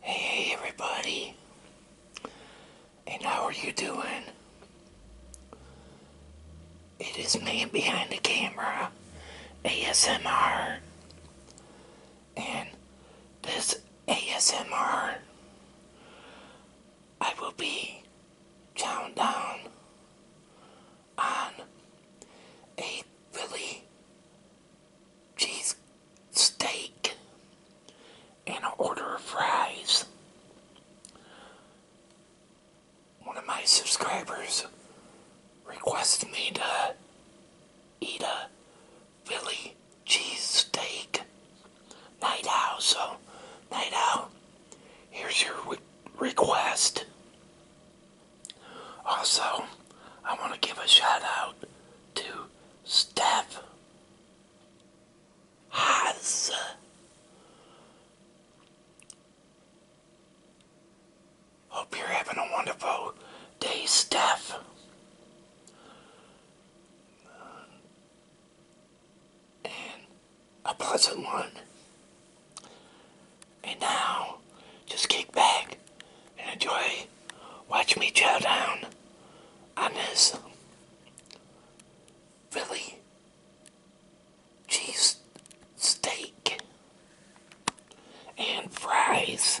Hey everybody, and how are you doing? It is me behind the camera, ASMR, and this ASMR, I will be countdown on a Philly cheese steak and an order of fries. One of my subscribers requested me to eat a Philly cheese steak night out, so night out, here's your request. Also, I want to give a shout out to Steph Haas. Hope you're having a wonderful day, Steph. And a pleasant one. And now, just kick back and enjoy watch me chow down on this Philly cheese steak and fries.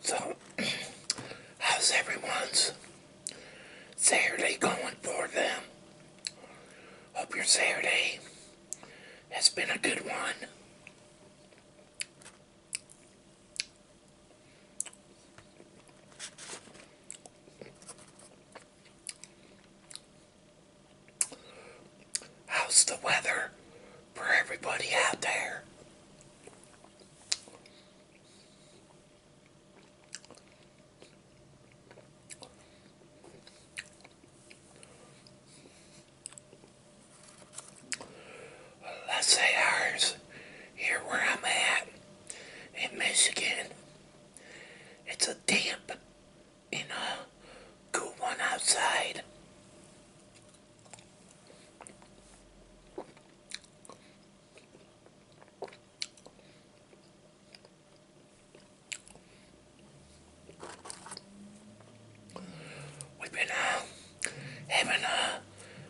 So, how's everyone's Saturday going for them? Hope your Saturday has been a good one. How's the weather for everybody out there? Let's say ours here where I'm at in Michigan. It's a damp in a cool one outside. We've been uh, having a uh,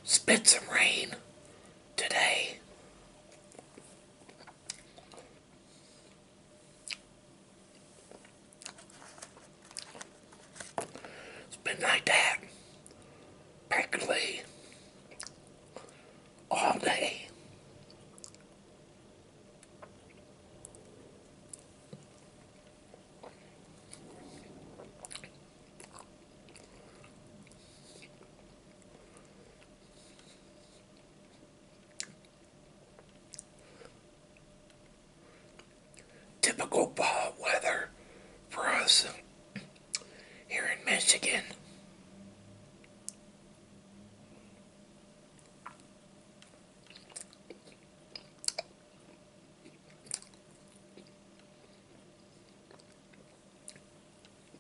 spit some rain today. It's been like that practically all day. Typical fall weather for us here in Michigan.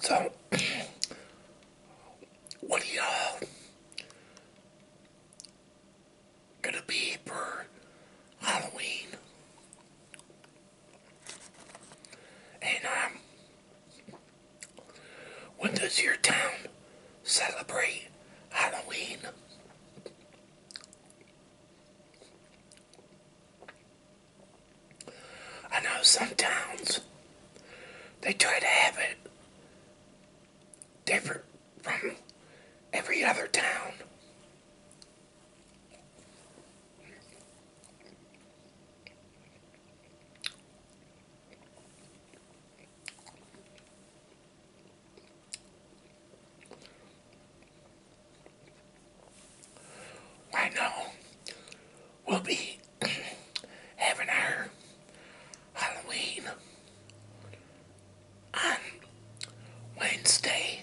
So, what do y'all gonna be for Halloween? And um, when does your town celebrate Halloween? I know some towns they try to have it different from every other town right now we'll be having our Halloween on Wednesday.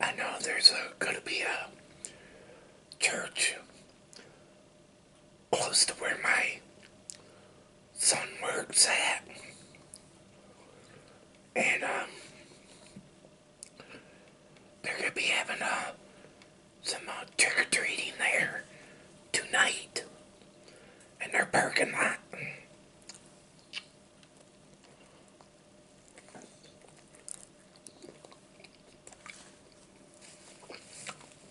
I know there's going to be a church close to where my son works at. And, um, they're going to be having uh, some uh, trick-or-treating there tonight in their parking lot.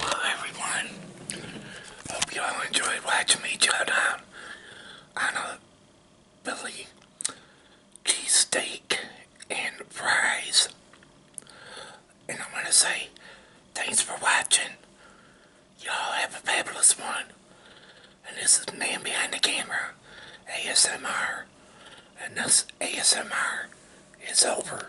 Well, everyone, hope you all enjoyed watching me chow down on a Philly cheesesteak and fries. And I am going to say thanks for watching. Y'all have a fabulous one. And this is the Man Behind the Camera, ASMR. And this ASMR is over.